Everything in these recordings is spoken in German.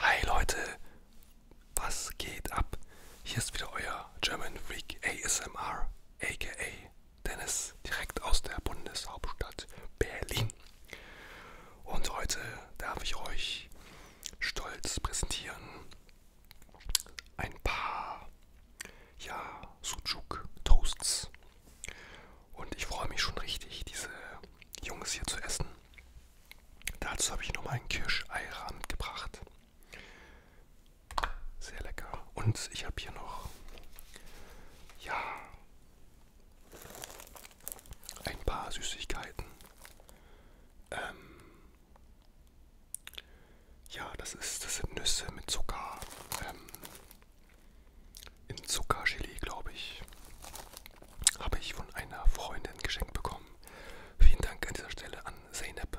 Hi Leute, was geht ab? Hier ist wieder euer German Freak ASMR, aka Dennis, direkt aus der Bundeshauptstadt Berlin. Und heute darf ich euch stolz präsentieren ein paar ja, Sucuk-Toasts. Und ich freue mich schon richtig, diese Jungs hier zu essen. Dazu habe ich nochmal einen Kirscheier mitgebracht. Sehr lecker. Und ich habe hier noch ja, ein paar Süßigkeiten. Ähm, ja, das, ist, das sind Nüsse mit Zucker. Ähm, in Zuckergelee, glaube ich. Habe ich von einer Freundin geschenkt bekommen. Vielen Dank an dieser Stelle an Zeynep.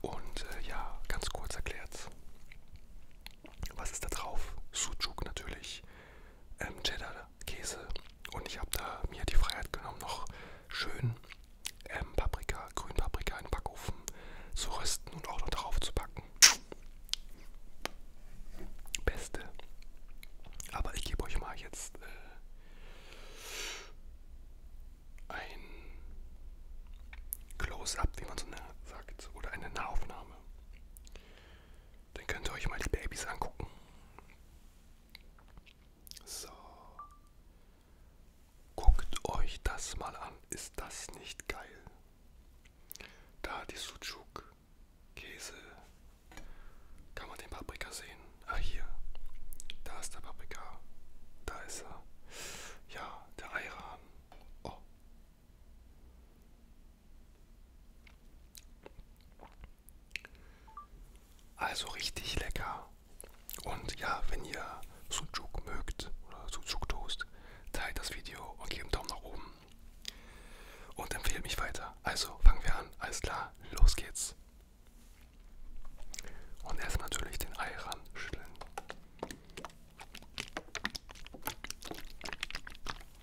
Und äh, ja, ganz kurz erklärt. Was ist da drauf? Sucuk natürlich ähm, Cheddar-Käse. Und ich habe da mir die Freiheit genommen, noch schön ähm, Paprika, Grünpaprika in den Backofen zu rösten und auch noch drauf zu backen. Beste. Aber ich gebe euch mal jetzt äh, ein Close-up, wie man so eine sagt, oder eine Nahaufnahme. Dann könnt ihr euch mal die Babys angucken. So. Guckt euch das mal an. Ist das nicht geil? Da die Sucuk, Käse. Kann man den Paprika sehen? Ah, hier. Da ist der Paprika. Da ist er. Ja, der Eiran. Oh. Also richtig lecker. Und ja, wenn ihr Sucuk mögt oder Sucuk Toast, teilt das Video und gebt einen Daumen nach oben. Und empfehlt mich weiter. Also fangen wir an. Alles klar, los geht's. Und erstmal natürlich den Ei ran schütteln.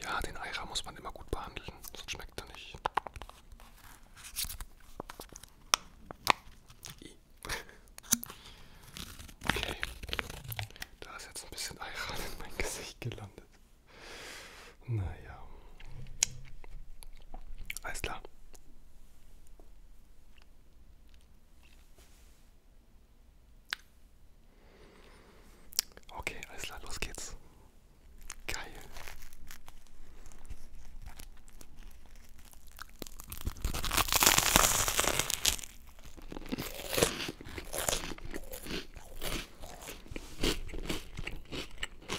Ja, den Eira muss man immer gut behandeln, sonst schmeckt er nicht. I. Okay, da ist jetzt ein bisschen Eira in mein Gesicht gelandet. Naja. Alles klar. Okay, alles klar, los geht's. Geil.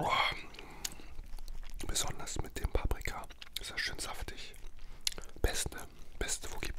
Oh. Besonders mit dem Paprika ist das schön saftig. Beste, beste, wo gibt.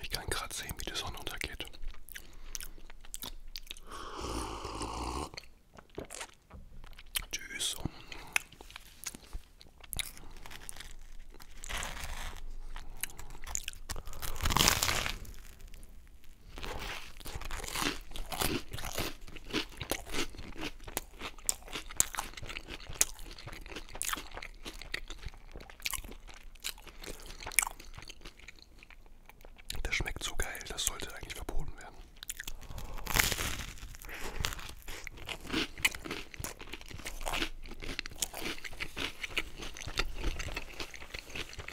Ich kann gerade sehen, wie die Sonne untergeht. Tschüss. Das schmeckt so geil, das sollte eigentlich verboten werden.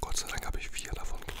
Gott sei Dank habe ich vier davon gemacht.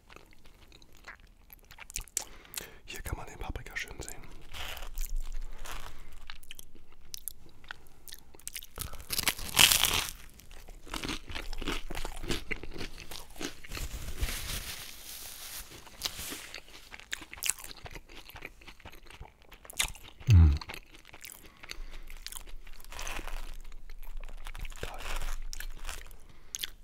Hier kann man den Paprika schön sehen. Mm.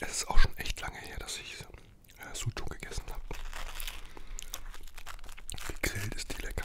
Es ist auch schon echt lange her, dass ich äh, Sucuk gegessen habe. Gegrillt ist die lecker.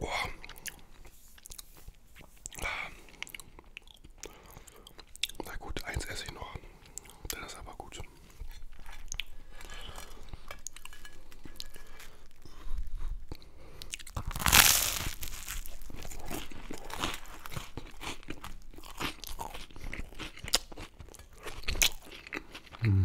Oh. Na gut, eins esse ich noch. Das ist aber gut. Mm.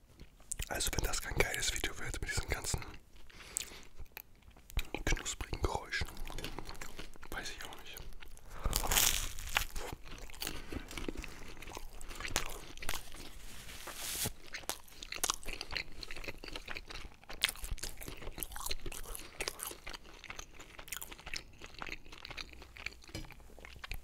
Also wenn das kein geiles Video wird mit diesen ganzen knusprigen Geräuschen, weiß ich auch nicht.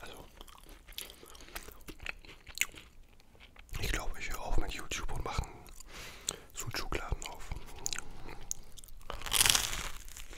Also, ich glaube, ich höre auf mit YouTube und mache einen Suchukladen auf.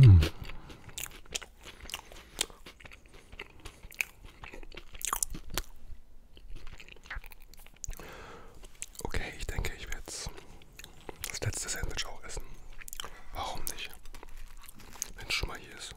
Hm. Okay, ich denke, ich werde jetzt das letzte Sandwich auch essen. Warum nicht? Wenn es schon mal hier ist.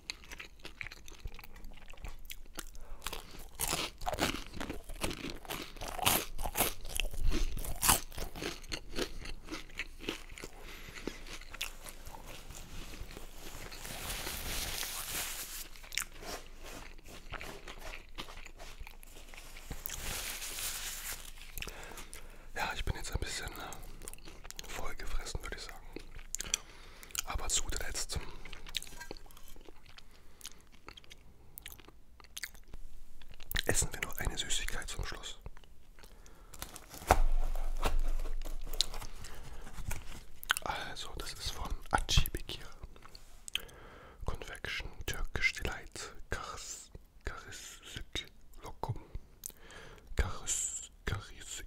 Ja, ich bin jetzt ein bisschen äh, vollgefressen, würde ich sagen. Aber zu zuletzt essen wir noch eine Süßigkeit zum Schluss. Also, das ist von Acibekir. Convection Turkish Delight Karis, Karisik Lokum. Karis, Karisik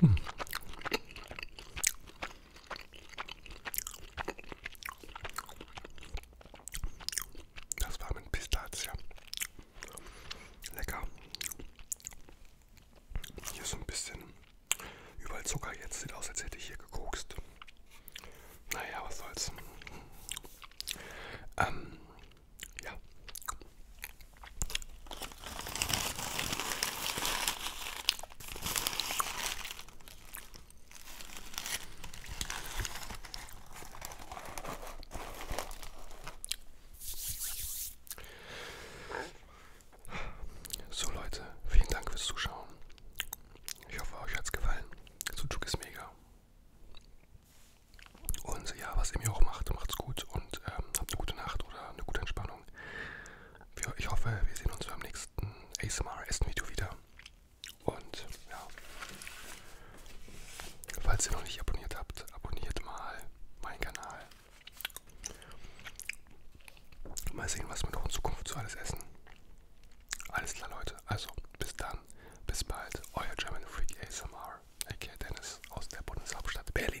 Hm. Das war mit Pistazie. Lecker. Hier so ein bisschen überall Zucker. Jetzt sieht aus, als hätte ich hier gekokst. Naja, was soll's. Ähm, ja. So Leute, vielen Dank fürs Zuschauen. Ich hoffe, euch hat's gefallen. Sucuk ist mega. Und ja, was ihr mir auch macht, macht's gut und ähm, habt eine gute Nacht oder eine gute Entspannung. Ahnung. Ich hoffe, wir sehen uns beim nächsten ASMR-Essen-Video wieder. Und ja, falls ihr noch nicht abonniert habt, abonniert mal meinen Kanal. Mal sehen, was wir noch in Zukunft so alles essen. Alles klar, Leute. Also, bis dann. Bis bald. Euer German Freak ASMR. Ecke Dennis aus der Bundeshauptstadt Berlin.